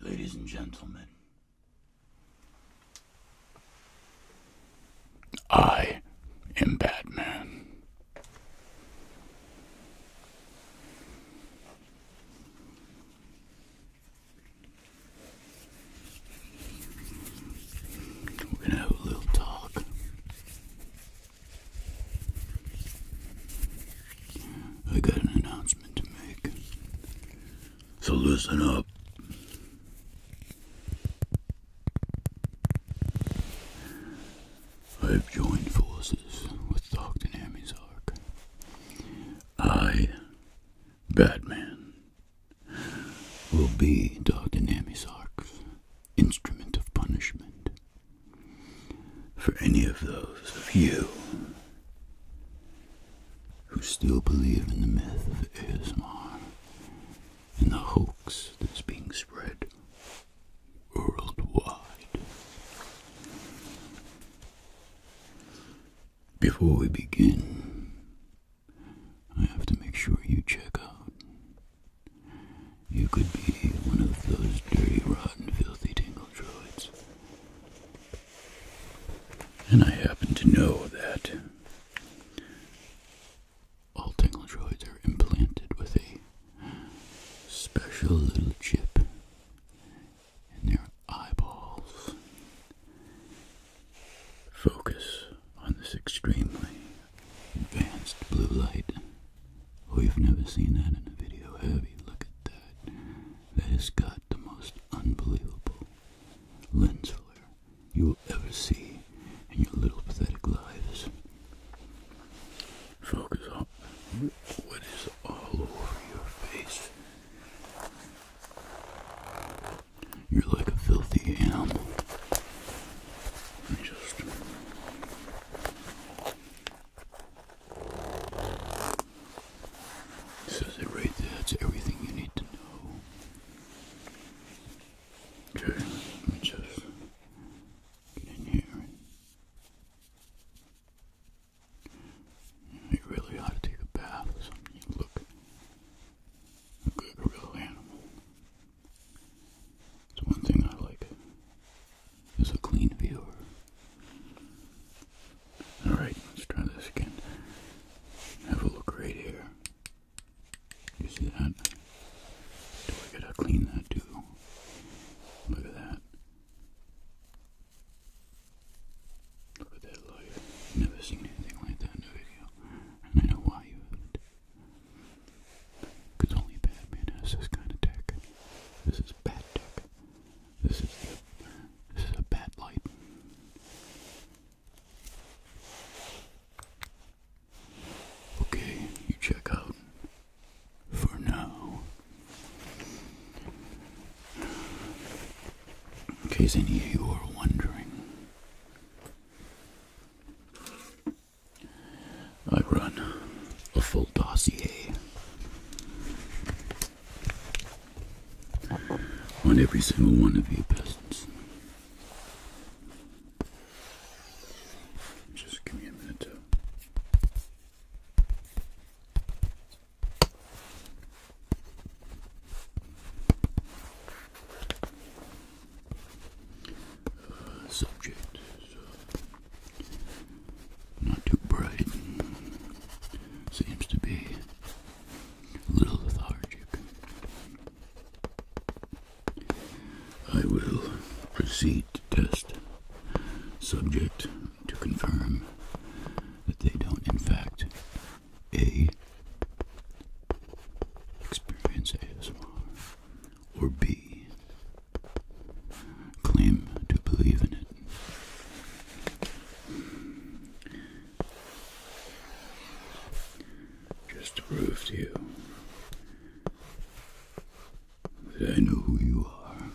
Ladies and gentlemen, I am Batman. We're gonna have a little talk. I got an announcement to make. So listen up. I've joined forces with Dr. Nami's Ark. I, Batman, will be Dr. Nami's Ark's instrument of punishment for any of those of you who still believe in the myth of ASMR and the hoax that's being spread worldwide. Before we begin, I have to make sure you check out you could be one of those dirty, rotten, filthy Tangle droids. And I happen to know that all Tangle droids are implanted with a special little chip and their eyeballs. Focus on this extremely advanced blue light We've never seen that in a video, have you? Look at that. That has got the most unbelievable lens flare you'll ever see in your little pathetic lives. Focus on what is all over your face. You're like a filthy animal. just Says it right there, that's everything you need to know. Okay, let me just get in here. You really ought to take a bath You look like a real animal. It's one thing I like is a clean view. Alright, let's try this again. Have a look right here. You see that? Do I gotta clean that too? Look at that. Look at that light. Never seen anything like that in a video. And I know why because only Batman has this kind of tech. This is bat tech. This is this is a bat light. Okay, you check out for now. In case any of you are wondering. I run a full dossier on every single one of you peasants. Just give me a minute subject, so uh, not too bright. Seems to be a little lethargic. I will proceed to test subject to confirm that they don't, in fact, A, experience ASMR, or B, claim to believe in it. Just to prove to you that I know who you are.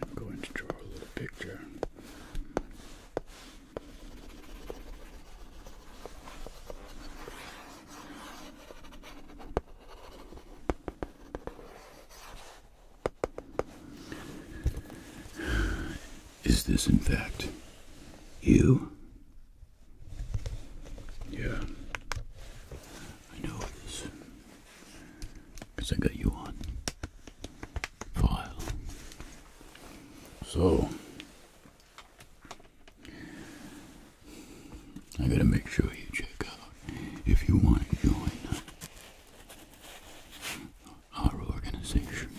I'm going to draw a little picture is this, in fact, you? Yeah. I know it is. Because I got you on file. So, I gotta make sure you check out if you want to join our organization.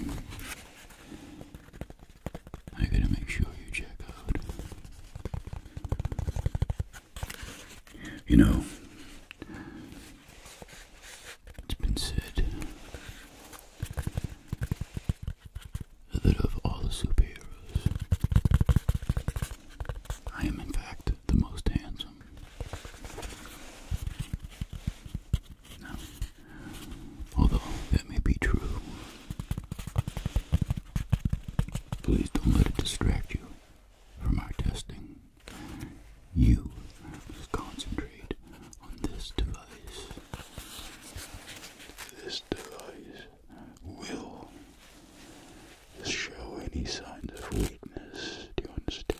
I gotta make sure you check out. You know, it's been said that of all the superheroes, I am in fact the most handsome. although that may be true, please don't let it distract you from our testing. You concentrate on this device. This device will show any signs of weakness. Do you understand?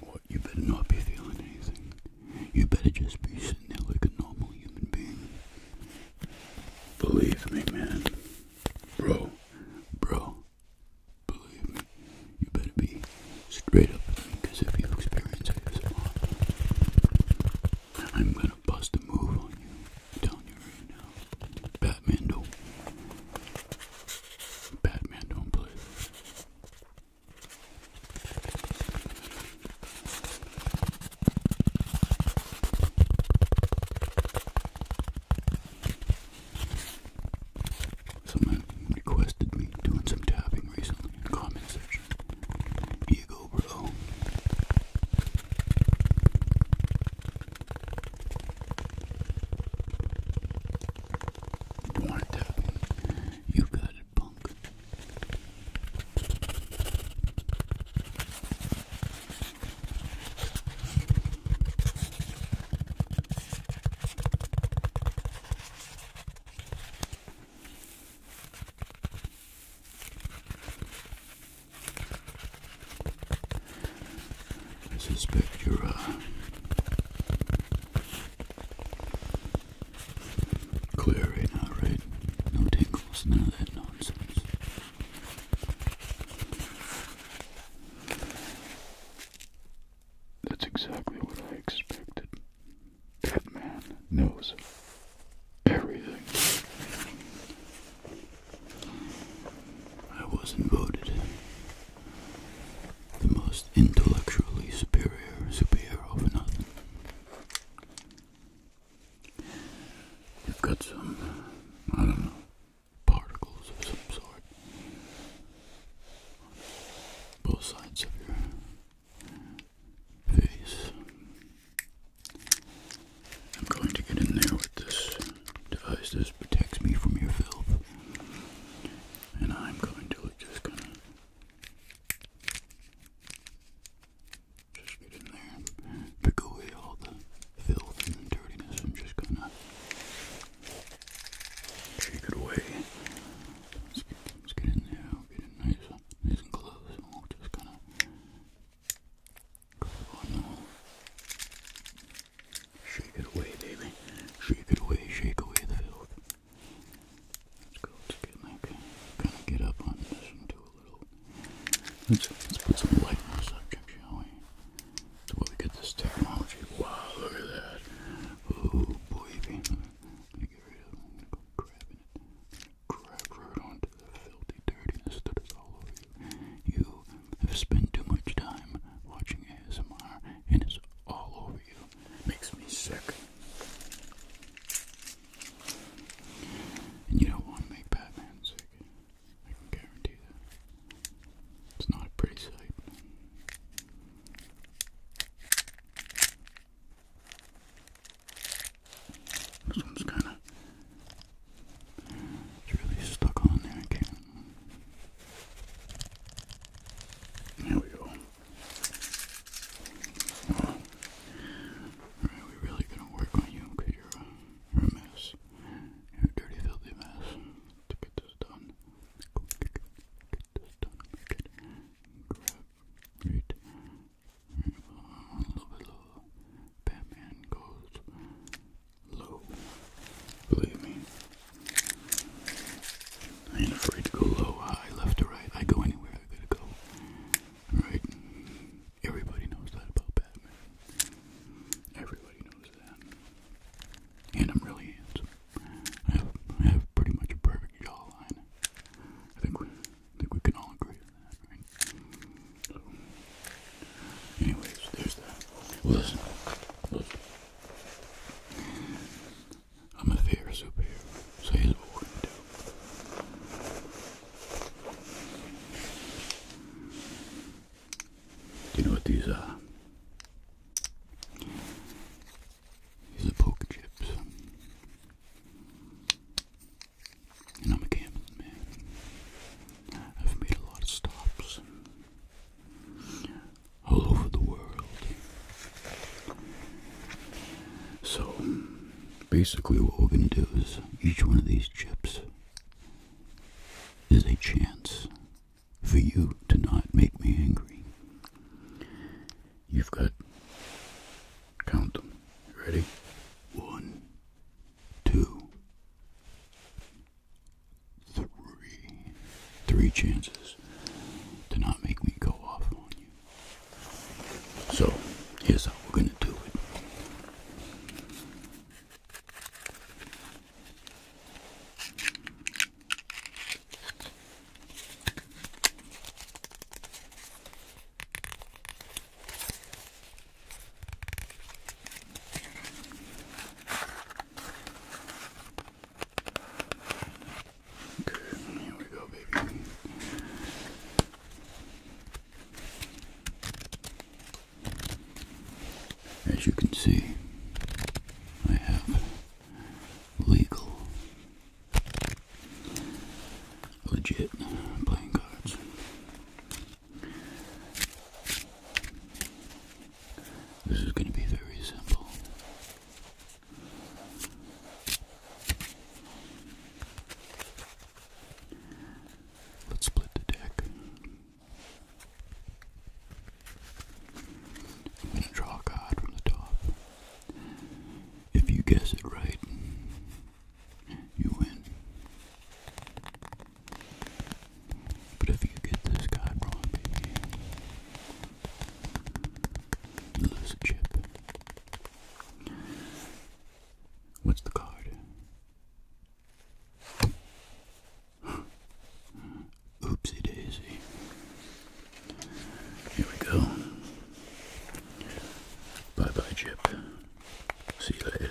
What? You better not be feeling anything. You better just be sitting there like a normal human being. Believe me, man. Bro, bro, Believe me, you better be straight up because if you experience ASMR, I'm going to bust a move on you. telling you right now. Batman don't. Batman don't play Someone requested me doing some tapping recently in the comment section. Here bro. You want to You got it, punk. I suspect you're uh, clear right now, right? No tingles, none of that nonsense. That's exactly what I expected. That man knows everything. I wasn't voted the most intellectually superior superior for nothing. You've got some, I don't know, particles of some sort both sides of your face. I'm going to get in there with this device. This protects me from your filth. And I'm going to just kind of just get in there, pick away all the filth and dirtiness, and just kind of Shake it away. Let's get, in there. get it nice, nice and close, we'll just kind of grab on now. Uh, shake it away, baby. Shake it away. Shake away the filth. Let's go. Let's get like kind of get up on this and a little. Let's let's put some light on the subject, shall we? to where this technology. Wow, look at that. Oh, baby. I'm gonna get rid of it. I'm gonna go grabbing it. Grab right onto the filthy dirtiness that is all over you. You have spent too much time watching ASMR, and it's all over you. Makes me sick. And you don't want to make Batman sick. I can guarantee that. It's not a pretty sight. This one's kind of. It's really stuck on there. I can't. There we go. Alright, we really gonna work on you because you're a mess. You're a dirty, filthy mess to get this done go get, get this done, make it, grab it, uh, a little Batman goes low, believe me, I ain't afraid to go low, high, left or right, I go anywhere I gotta go, right, everybody knows that about Batman, everybody knows that and I'm really I have, pretty much a perfect jawline. I think we, can all agree on that, anyways, there's that. Listen, listen. I'm a favorite superhero, so here's what we're going Do you know what these are? Uh, these are poker chips. And I'm a gambling man. I've made a lot of stops all over the world. So, basically, what we're going to do is each one of these chips is a chance for you to not make me angry. You've got, count them. Ready? One, two, three. Three chances to not make me go off on you. So, here's how we're going to do it. Okay, here we go, baby. As you can see, I have legal, legit playing cards. This is going to be very simple. Let's split the deck. I'm going to draw a card from the top. If you guess it right, you win. But if you get this card wrong, you lose a chip. What's the card? Oopsie daisy. Here we go. Bye bye, Chip. See you later.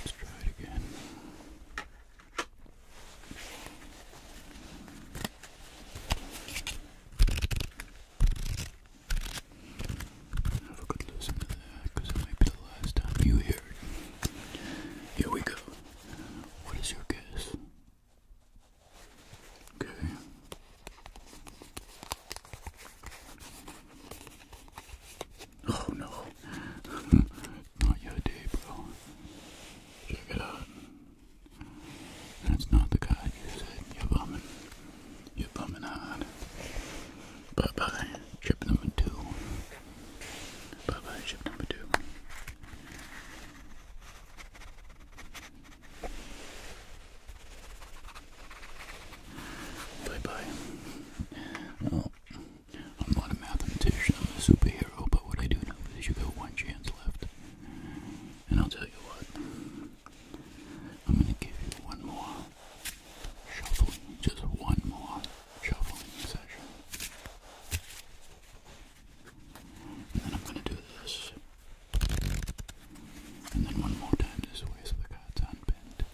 Let's try it again. Have a good listen to that, because it might be the last time you hear it. Here we go. What is your guess? Okay. Oh no. not your day, bro. Check it out. That's not the guy you said. You're bumming. You're bumming hard. Bye bye. Tripping number two. Bye bye, ship number two. Bye bye. Oh, I'm not a mathematician, I'm a superhero, but what I do know is you got one chance left. And I'll tell you what, I'm gonna give you one more just one more shuffling And then I'm going to do this. And then one more time this way so the card's unbent.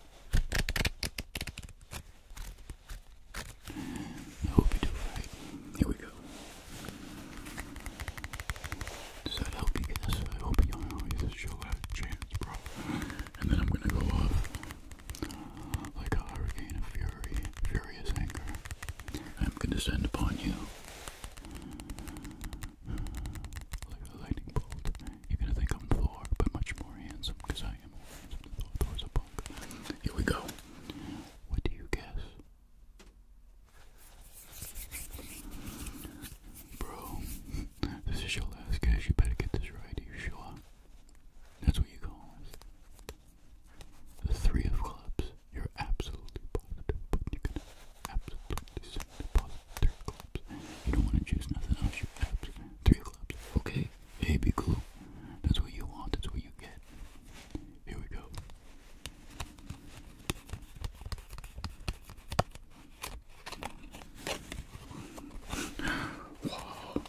I hope you do right. Here we go. Does that help you get I hope you always show out chance, bro. And then I'm gonna go up like a hurricane of fury, furious anger, I am going to descend upon you like a lightning bolt. You're going to think but much more handsome, I am Here we go. What do you guess? Bro, this is your last guess. You better get this right. Are you sure? That's what you call the three of clubs. You're absolutely positive, but you can absolutely positive three of clubs. You don't want to choose nothing else. You absolutely three of clubs. Okay, A B cool. That's what you want. That's what you get. Here we go. Wow.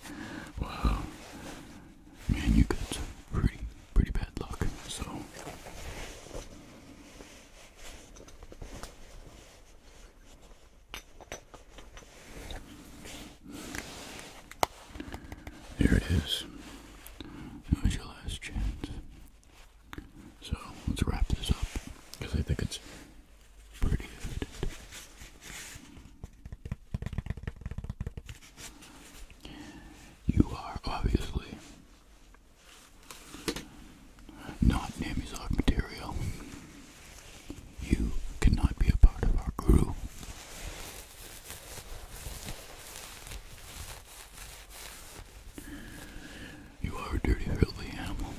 Wow. Man, you got pretty, pretty bad luck, so. There it is. That was your last chance. So let's wrap this up because I think it's pretty evident. You are obviously not Namizog material. You cannot be a part of our crew. You are a dirty, filthy animal.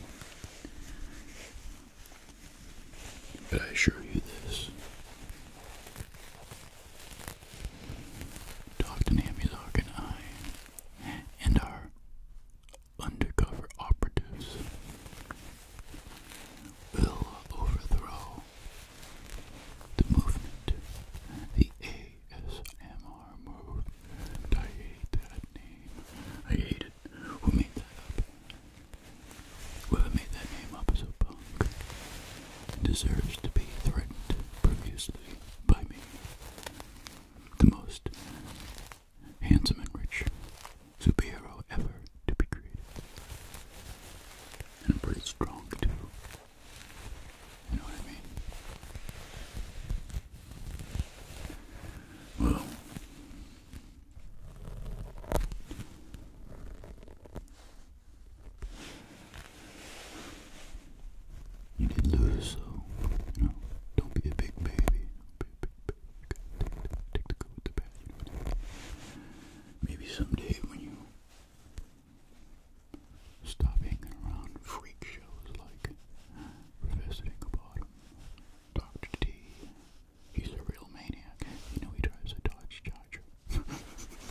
But I assure you this. Dr. Namuzak and I and our undercover operatives will overthrow the movement, the ASMR move. I hate that name. I hate it. Who made that up? Whoever made that name up is deserves to be threatened profusely by me. The most handsome and rich superhero ever to be created. And I'm pretty strong too. You know what I mean? Well, you did lose, so you know, don't be a big baby. Take, the good with the bad. Maybe someday when you stop hanging around freak shows like Professor Dinklebottom Dr. D, he's a real maniac. You know, he drives a Dodge Charger.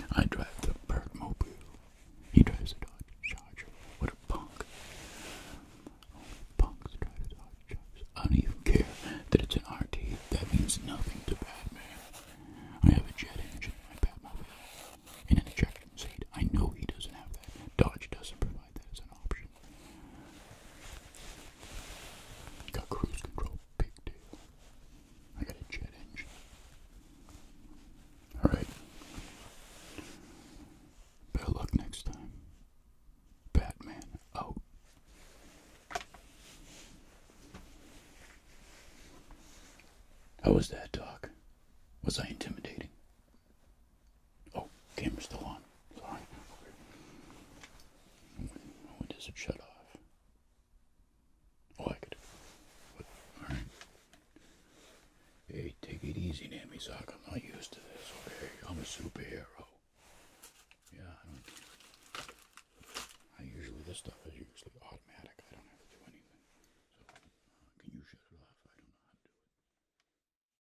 I drive the Birdmobile. He drives a Dodge Charger. What a punk. Only punks drive Dodge Charger. I don't even care that it's an RT. That means nothing to Batman. I have a jet engine in my Batmobile. And an ejection seat. I know he doesn't have that. Dodge doesn't provide that as an option. Got cruise control, big deal. I got a jet engine. Alright. Better luck next time. Batman out. How was that, Doc? Was I intimidating? Oh, camera's still on. Sorry. When, does it shut off? Oh, I could. But, all right. Hey, take it easy, Namisak. I'm not used to this. Okay, I'm a superhero. Yeah, I don't. I usually this stuff is usually automatic. I don't have to do anything. Uh, can you shut it off? I don't know how to do it.